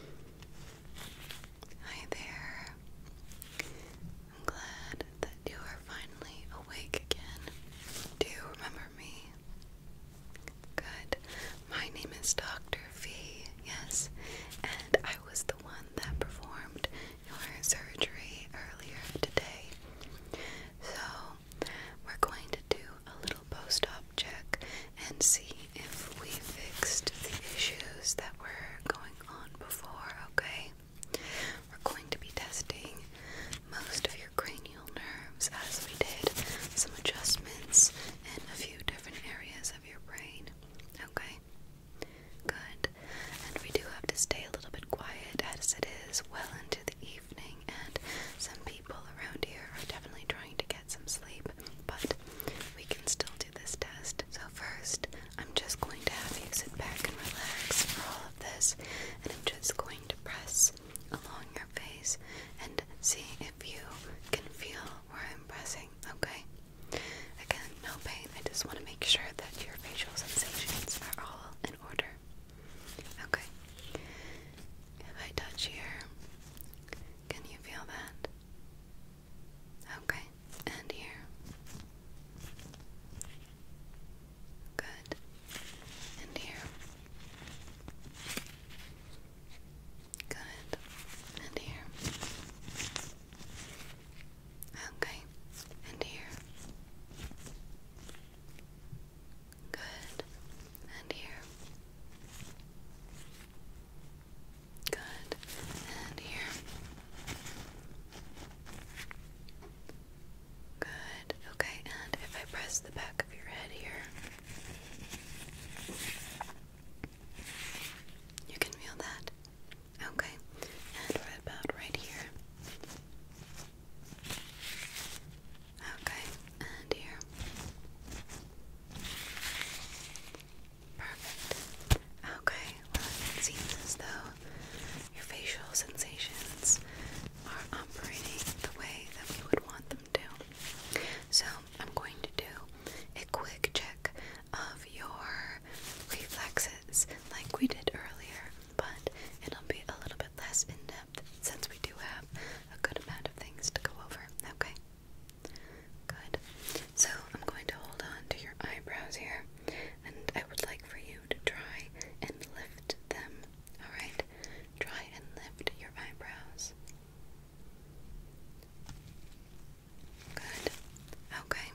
Hi there. I'm glad that you are finally awake again. Do you remember me? Good. My name is Dr. V, yes, and I was the one that performed your surgery earlier today. So, we're going to do a little post op check and see if we fixed the issues that were going on before, okay? We're going to be testing most of your cranial nerves as we did some adjustments in a few different areas of your brain, okay? Good. And we do have to stay a little bit quiet as it is well into the evening, and some people around here are definitely trying to get some sleep but we can still do this test. So, first, I'm just going to have you sit back and relax for all of this, and I'm just going to press along your face and see if you can feel where I'm pressing, okay? Again, no pain. I just want to make sure that your facial sensations are all in order. Okay. If I touch here, can you feel that? Okay, and here. Good. And here. Good. And here. Okay. And here. Good. And here. Good. And here. Good. Okay, and if I press the back of your head here, you can feel that. Okay, and we about right here. Okay, and here. Perfect. Okay, well, it seems as though your facial sensations are operating the way that we would want them to. So, I'm going to do a quick check of your reflexes like we did earlier, but it'll be a little bit less in depth since we do have a good amount of things to go over. Okay, Good. So I'm going to hold on to your eyebrows here, and I would like for you to try and lift them. Alright? Try and lift your eyebrows. Good. Okay.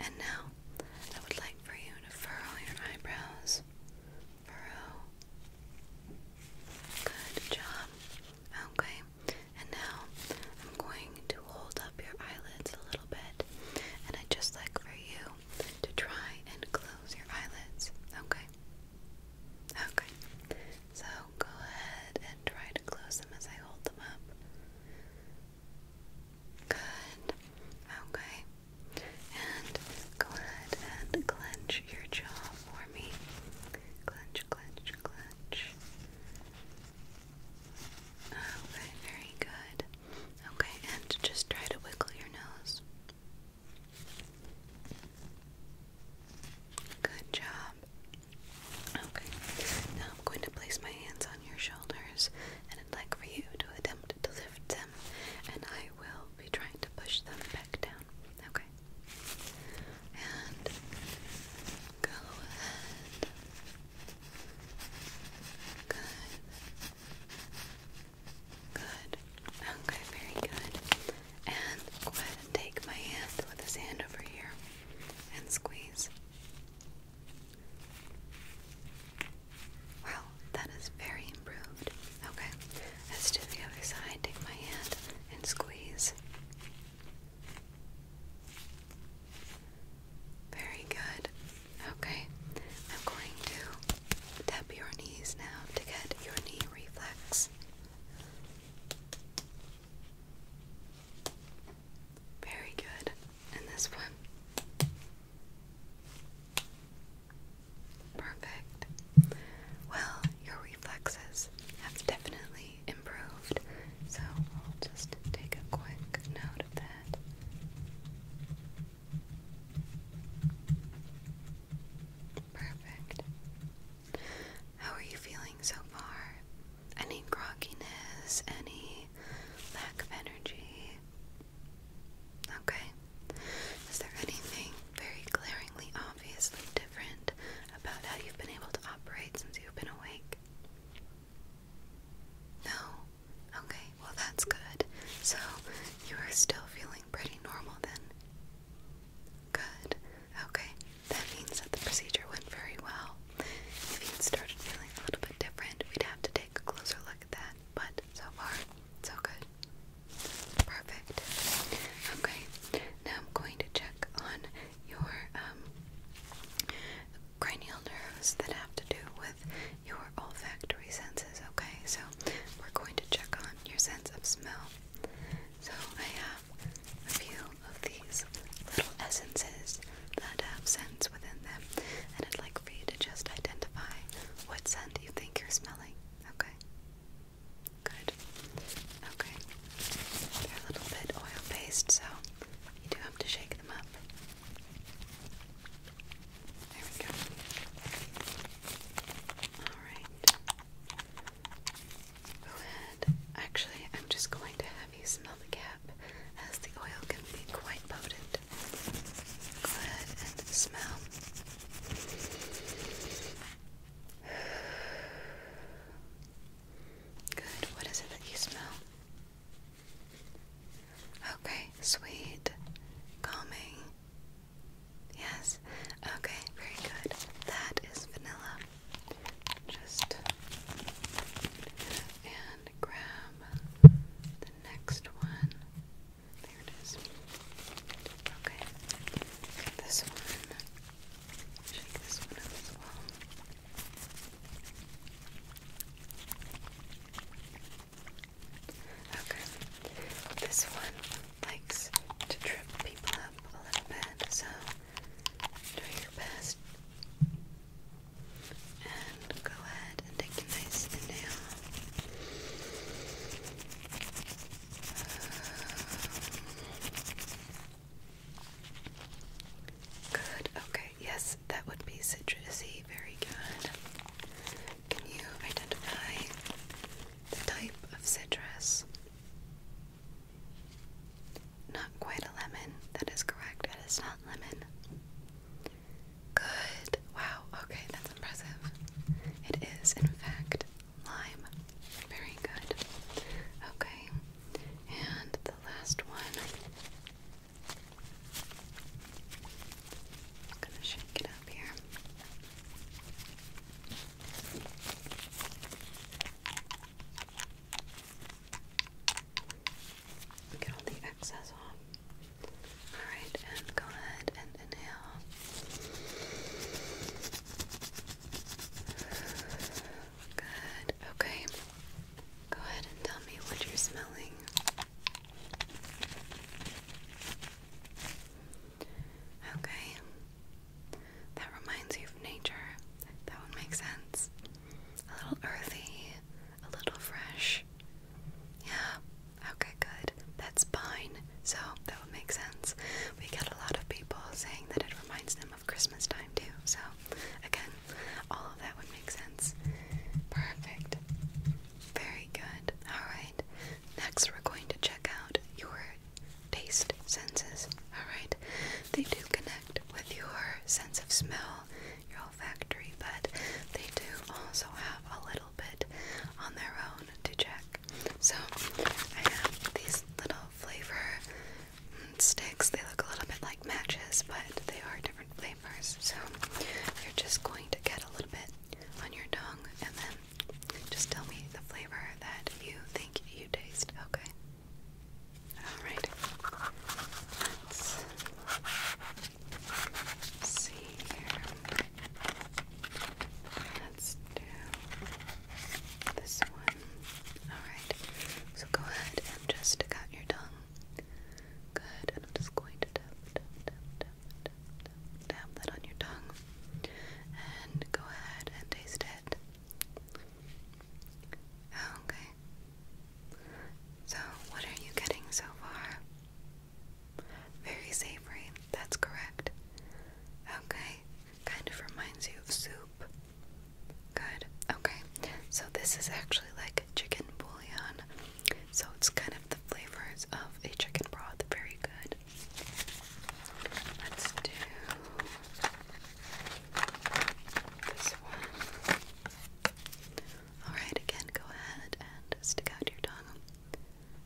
And now I would like for you to furrow your eyebrows. Furrow. Good job. Okay, and now I'm going to hold up your eyelids a little bit, and I'd just like for you to try and close your eyelids. Okay, okay, so go ahead and try to close them as I hold them up. Good, okay. And go ahead and clench your jaw for me. Clench, clench, clench. Okay, very good. Okay, and just try to wiggle your nose. Good job. Okay, now I'm going to place my hands on your shoulders and I'd like for you to attempt to lift them, and I will be trying to push them back down. Okay, and go ahead. Good. Good. Okay, very good. And go ahead and take my hand with this hand over here and squeeze. Wow, that is very improved. Okay, let's do the other side. Take my hand and squeeze. Very good. Okay, I'm going to tap your knees now to get your knee reflex. Very good. And this one. Perfect. Well, your reflexes have definitely improved, so we'll just take a quick note of that. Perfect. How are you feeling so far? Any grogginess? Any lack of energy? Okay. Is there anything very glaringly obviously different about how you've been able to operate since you've been awake? No? Okay, well, that's good. So, you are still feeling pretty normal then? Good. Okay, that means that the procedure went very well. If you had started feeling a little bit different, we'd have to take a closer look at that. But so far, so good. Perfect. Okay, now I'm going to check on your um, cranial nerves that have to do with your olfactory senses, okay? So we're going to check on your sense of smell. So I have a few of these little essences that have scents within them, and I'd like for you to just identify what scent you think you're smelling, okay? Good. Okay. They're a little bit oil based, so you do have to shake them up. There we go. Alright. Go ahead. Actually, I'm just going to have you smell the cap as the oil can be quite potent. Go ahead and smell. Good. What is it that you smell? Okay, sweet, calming. Yes. Okay, very good. That is vanilla. Just and grab the next one. There it is. Okay. This one Shake this one up as well. Okay, this one likes to trip people up a little bit, so do your best and go ahead and take a nice inhale. Good. Okay. Yes, that would be citrusy. Very good. Can you identify the type of citrus? Not quite a lemon. That is correct. It is not lemon. Good. Wow. Okay, that's impressive. It is, in fact, lime. Very good. Okay, and the last one. gonna shake it up here. Get all the excess off. Alright, and go ahead and inhale. Good. Okay. Go ahead and tell me what you're smelling. Okay. That reminds you of nature. That would make sense. A little earthy, a little fresh. Yeah. Okay, good. That's pine. So would make sense. We get a lot of people saying that it reminds them of Christmas time too. So, again, all of that would make sense. Perfect. Very good. Alright. Next, we're going to check out your taste senses. Alright. They do connect with your sense of smell, your olfactory, but they do also have a little bit on their own to check. So I have these little flavor sticks. They look a little bit like matches, but they are different flavors. So you're just going to get a little bit on your tongue and then just tell me the flavor that you think you taste, okay? Alright. Let's see here. Let's do this one. Alright, so go ahead and just stick out your tongue. Good, and I'm just going to tap, that on your tongue. And go ahead and taste it. Okay. So, what are you getting so far? Very savory, that's correct. Okay, Kind of reminds you of soup. Good. Okay. So this is actually like chicken bouillon. So it's kind of the flavors of a chicken broth. Very good. Let's do this one. Alright, again, go ahead and stick out your tongue.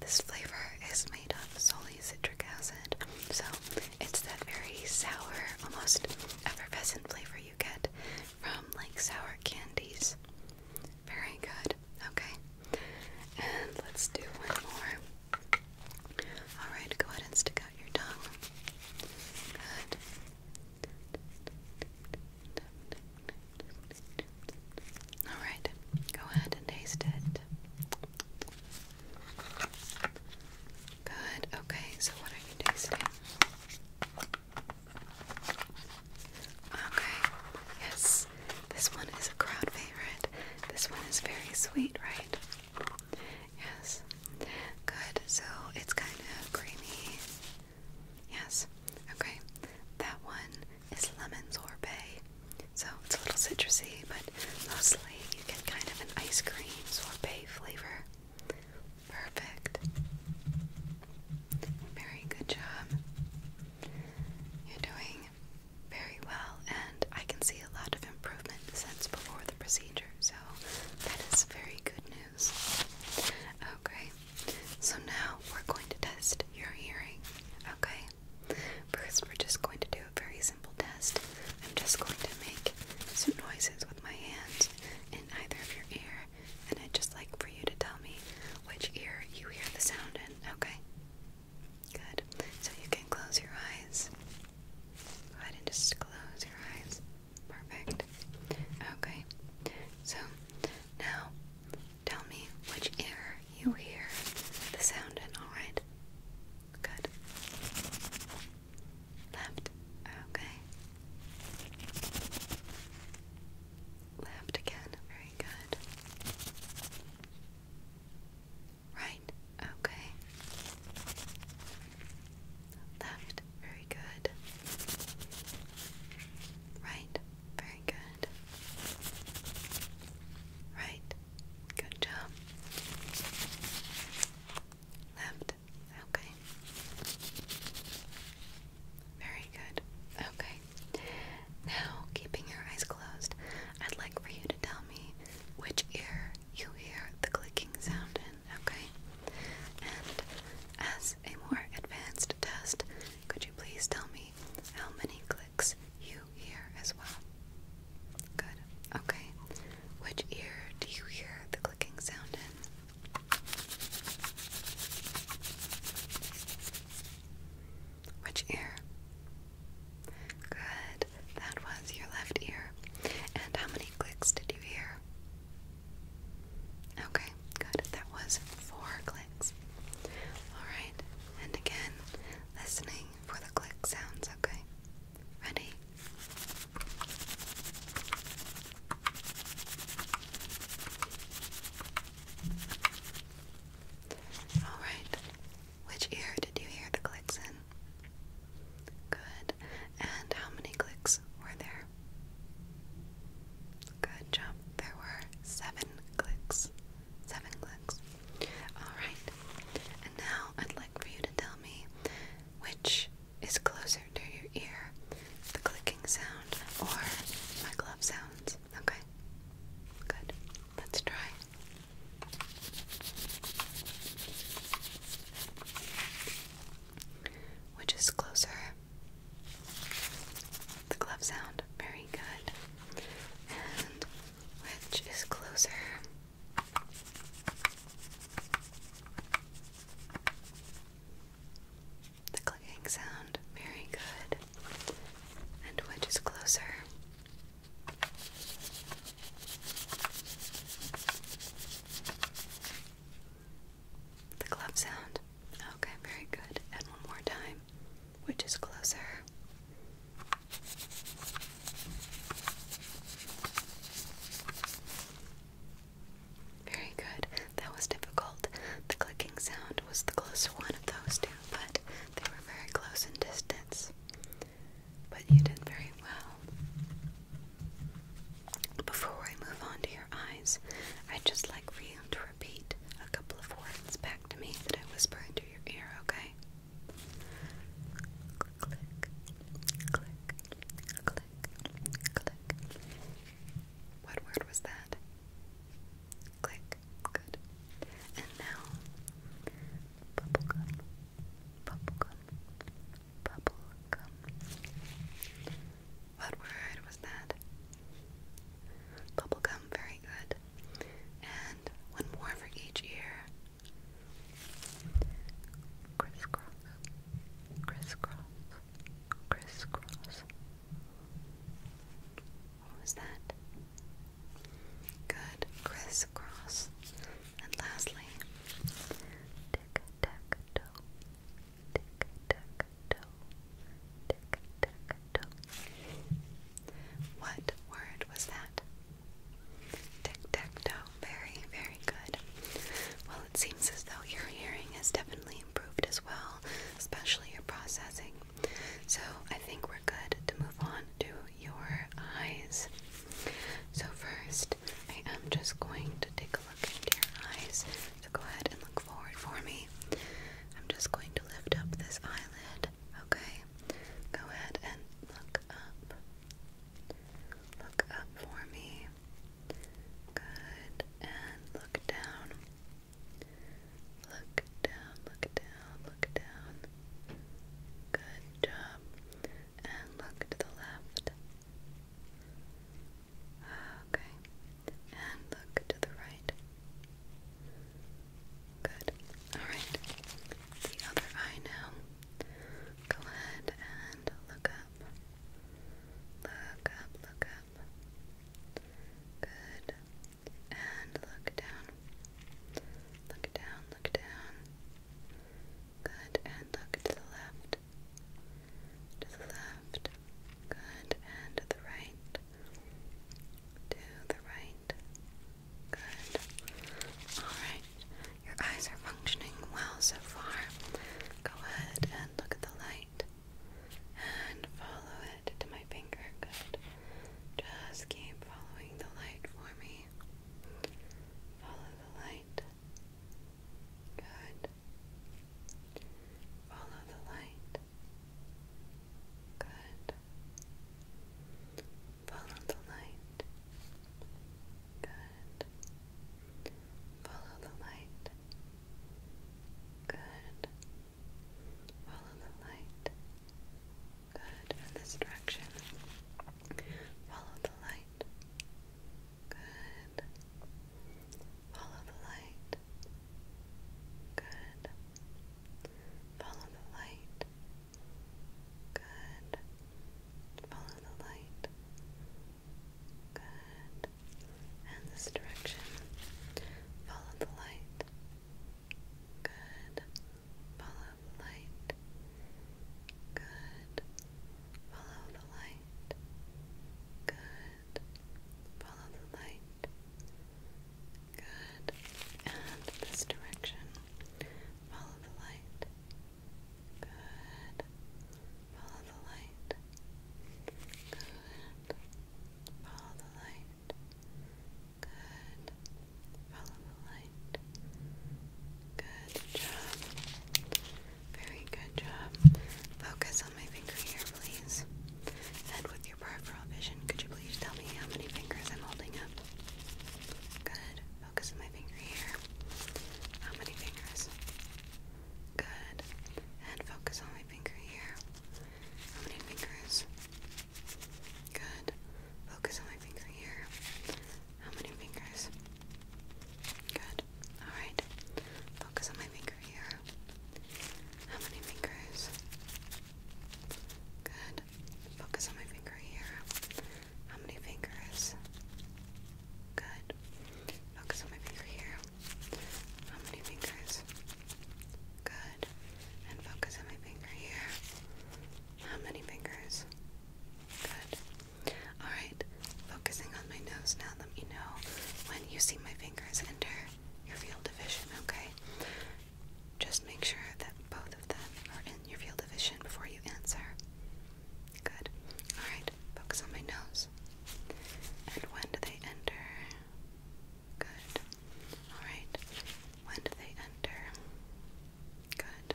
This flavor is made of solely citric acid, so it's that very sour, almost effervescent flavor you get from like sour candies. Very good. Okay. And let's do one more. Alright, go ahead and stick out your tongue. Good. Alright, go ahead and taste it. Good, okay, so what are you tasting? Okay, yes, this one is a crowd favorite. This one is very sweet, right? Yes, good, so it's kind of creamy. Yes, okay, that one is lemon sorbet. So it's a little citrusy, but mostly you get kind of an ice cream sorbet flavor. Perfect. Very good job. You're doing very well, and I can see a lot of improvement since before the procedure, so that is very good news. Okay, so now we're going to test your hearing. Okay, First, we're just going to do a very simple test. I'm just going to make some noises with my hands in either of your ears, and I'd just like for you to tell me which ear you hear the sound in, okay? Good. So you can close your eyes. Go ahead and just close your eyes. Perfect. Okay. So now Tell me which ear you hear the sound in, alright? Good. Left. Okay. Left again. Very good. Right. Okay. Left. Very good. Right. Very good. Right. Good job. Left. Okay. Very good. Okay. Now, keeping your eyes closed, I'd like for you to tell me which ear you hear the clicking sound in, okay? And as a more advanced test, could you please tell me how many clicks you you as well? Good. Okay. Which ear do you hear the clicking sound in? Which ear? Good. That was your left ear. And how many clicks did you hear? Okay, good. That was four clicks. Alright, and again, listening for the click sounds, okay? Ready? Alright, which ear did you hear the clicks in? Good. And how many clicks were there? Good job. There were seven clicks. Seven clicks. Alright. And now I'd like for you to tell me which is closer to your ear the clicking sound or my glove sounds. Okay? Good. Let's try. Which is closer? The glove sound. Very good and which is closer. The clicking sound, very good. And which is closer? The glove sound. Okay, very good. And one more time which is closer. Very good. That was difficult. The clicking sound was the closer one of those two, but they were very close in distance. But you did very well. Before I move on to your eyes, i just like for you and repeat a couple of words back to me that I whispered into your ear, okay? Click, click, click, click. What word was that? Click. Good. And now, bubblegum, bubblegum, bubblegum. What word was that? Bubblegum, very good and one more for each ear. Crisscross, crisscross, crisscross. What was that? Good, crisscross. And lastly, tick tack toe, tick tack toe, tick tack toe. What word was that? Tic-tac-toe. Very, very good. Well, it seems as though your hearing has definitely improved as well, especially your processing. So I think we're good to move on to your eyes. So first, I am just going to take a look into your eyes. So go ahead and look forward for me. I'm just going to lift up this eyelid, okay? Go ahead and look up. Look up for me. Good. And look down. Look down, look down, look down. Good job. And look to the left. Ah, okay and look to the right. Good. Alright. The other eye now. Go ahead and look up. Look up, look up. Good. And look down. Look down, look down. Good. And look to the left. To the left. Good. And the right. To the right. Good. Alright. Your eyes are functioning well so far. Go ahead and look at the light. And follow it to my finger. Good. Just keep following the light for me. Follow the light. Good. Follow the light. Good. Follow the light. Good. Follow the light. Good. Follow the light. Good. In this direction. Follow the light. Good. Follow the light. Good. Follow the light. Good. Follow the light. Good. And this direction. Follow the light. Good. Follow the light. Good. Follow the light. Good. Good. Follow the light. Good. And this direction. Follow the light. Good. Follow the light. Good. Follow the light. Good. Follow the light. Good job. Very good job. Focus on my finger here, please. And with peripheral vision, could you please tell me how many fingers I'm holding up? Good. Focus on my finger here. How many fingers? Good. And focus on my finger here. How many fingers? Good. Focus on my finger here. How many fingers? Good. Alright. Focus on my finger here. How many fingers? Good. Focus on my finger here. How many fingers? Good. Focus on my finger here. How many fingers? Good. And focus on my finger here. How many fingers? Good. Alright, focusing on my nose now. Let me know when you see my fingers enter your field of vision, okay? Just make sure that both of them are in your field of vision before you answer. Good. Alright, focus on my nose. And when do they enter? Good. Alright. When do they enter? Good.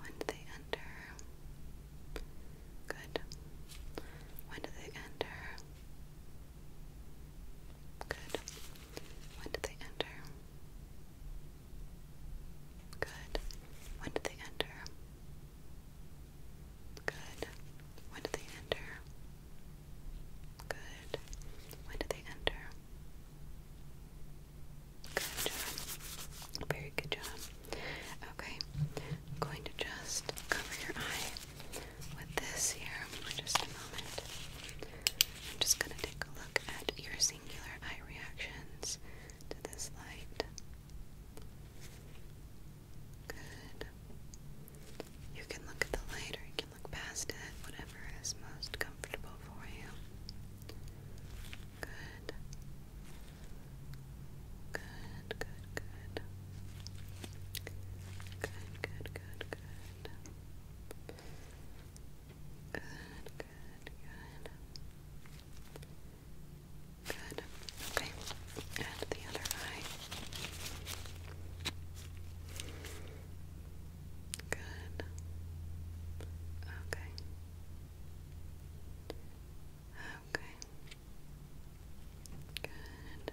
When do they enter? Good. When do they enter? Good. When did they enter? Good. When did they enter? Good. When did they enter? Good. When did they enter? Good job. Very good job. Okay. I'm going to just cover your eye with this here for just a moment. I'm just going to take a look at your singular eye reactions to this light. Good. You can look at the light or you can look past it, whatever is most comfortable for you. Good. Good. Good, good, good. Good, good, good, good. Okay. And the other eye. Good. Okay. Okay. Good. Good.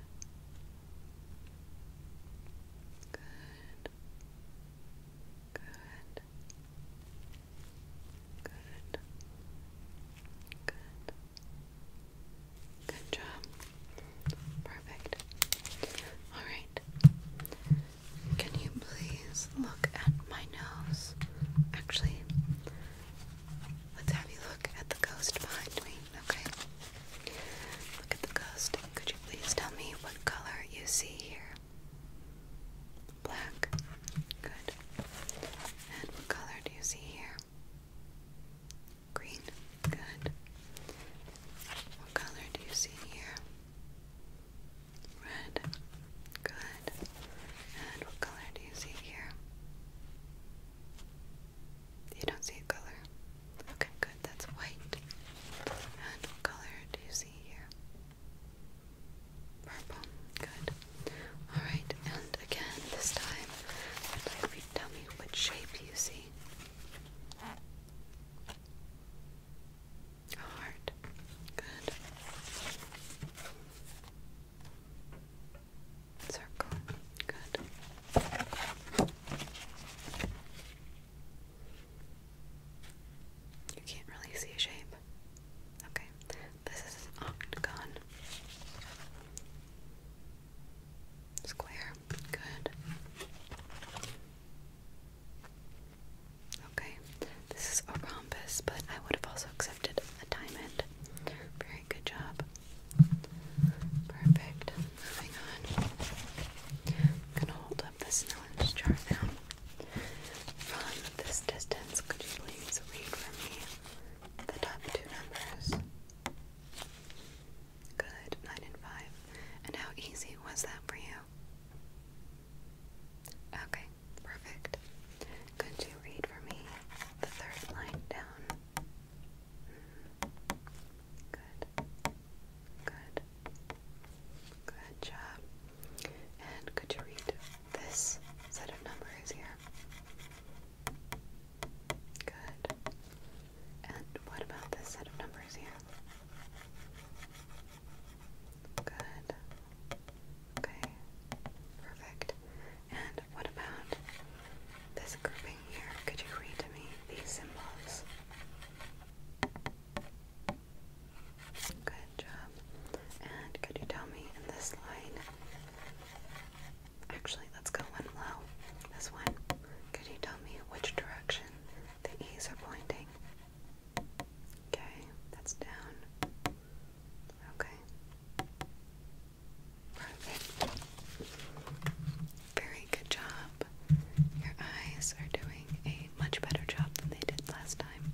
Good. Good. Good. Good job. Perfect. All right. Can you please look at my nose? Actually, let's have you look at the ghost behind me, okay? Look at the ghost. Could you please tell me what color you see here? Black. Good. And what color do you see here? Green. Good. What color do you see here? Red. Good. And what color do you see here? You don't see a color? Okay, good. That's white. And what color do you see here? Purple. Good. Alright, and again, this time, I'd like you tell me what shape you see. heart. Good circle. Good. You can't really see a shape. Okay, this is an octagon. Square. Good. Okay, this is a rhombus, but I would have also accepted a diamond. Very good job. Perfect. Moving on. I'm gonna hold up this knowledge jar now. From this distance, could you please read for me the top two numbers? Good, nine and five. And how easy was that for you? Okay, perfect. Could you read for me the third line down? Good. Good. Good job. And could you read this set of numbers here? Good. And what about this set of numbers here? Good. Okay. Perfect. And what about this grouping here? Could you read to me these symbols? Good job. And could you tell me in this line? Actually, let's go one low. This one. Could you tell me which direction the E's are pointing? Okay, that's down. Okay. Perfect. Very good job. Your eyes are doing a much better job than they did last time.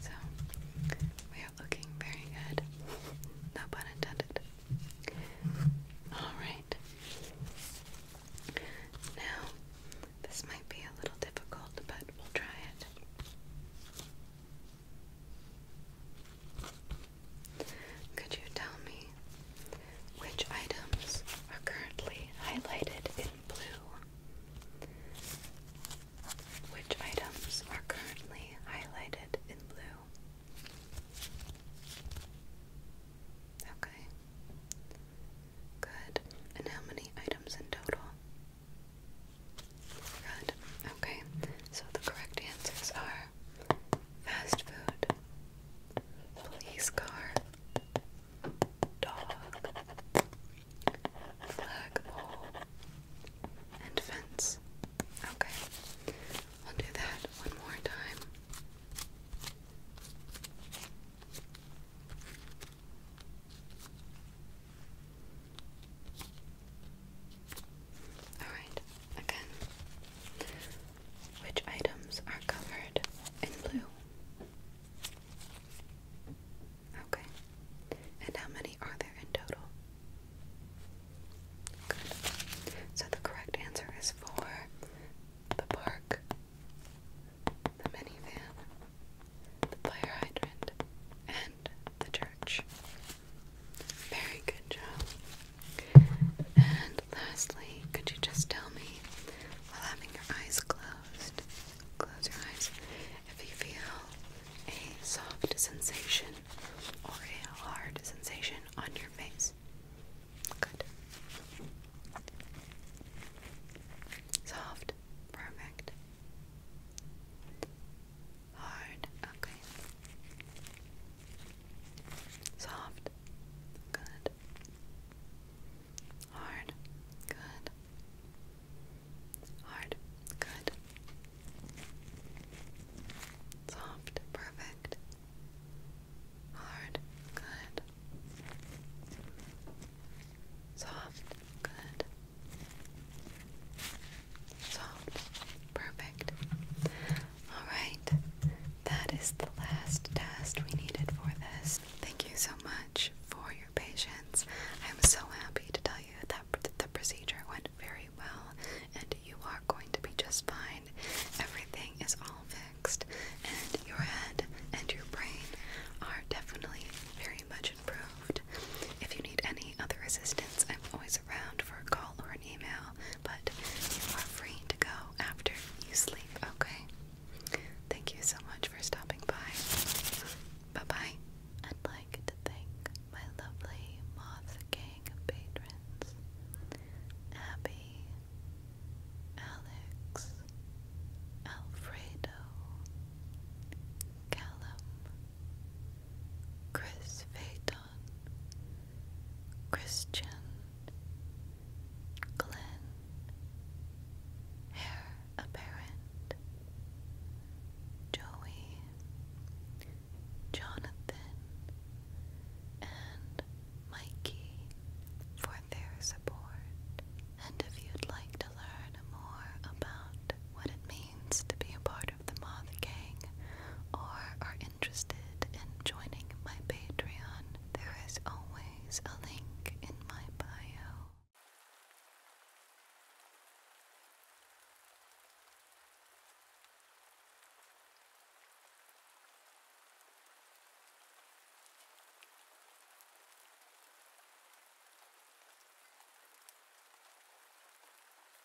So, we are looking very good. No pun intended. Alright. Now, this might be a little difficult, but we'll try it. Could you tell me which items are currently highlighted in blue? Which items are currently highlighted in blue? Okay. Good. And how many items in total? Good. Okay. So the correct answers are fast food, police car, dog, flagpole, and fence. Okay, I'll do that one more time. Alright, again. Which items are covered in blue? Okay. And how many are there in total? Good. So the correct answer is for the park, the minivan, the fire hydrant, and the church. Very good job. And lastly, could you just tell me while having your eyes closed, close your eyes, if you feel a soft sensation or a hard sensation on your face? Good. Soft. Perfect. Hard, okay. Soft, good. Hard, good. Hard, good. Soft, perfect. Hard, good. Soft, good. Soft, perfect. Alright, that is the last test we needed for this. Thank you so much for your patience. I'm so happy to tell you that the procedure went very well and you are going to be just fine. Everything is all fixed, and your head and your brain are definitely very much improved. If you need any other assistance, I'm always for a call or an email, but you are free to go after you sleep, okay? Thank you so much for stopping by. Bye bye. I'd like to thank my lovely Moth Gang patrons Abby, Alex, Alfredo, Callum, Chris Phaeton. Christian, Glenn, Hair Apparent, Joey, Jonathan, and Mikey for their support. And if you'd like to learn more about what it means to be a part of the Moth Gang or are interested in joining my Patreon, there is always a link in my bio.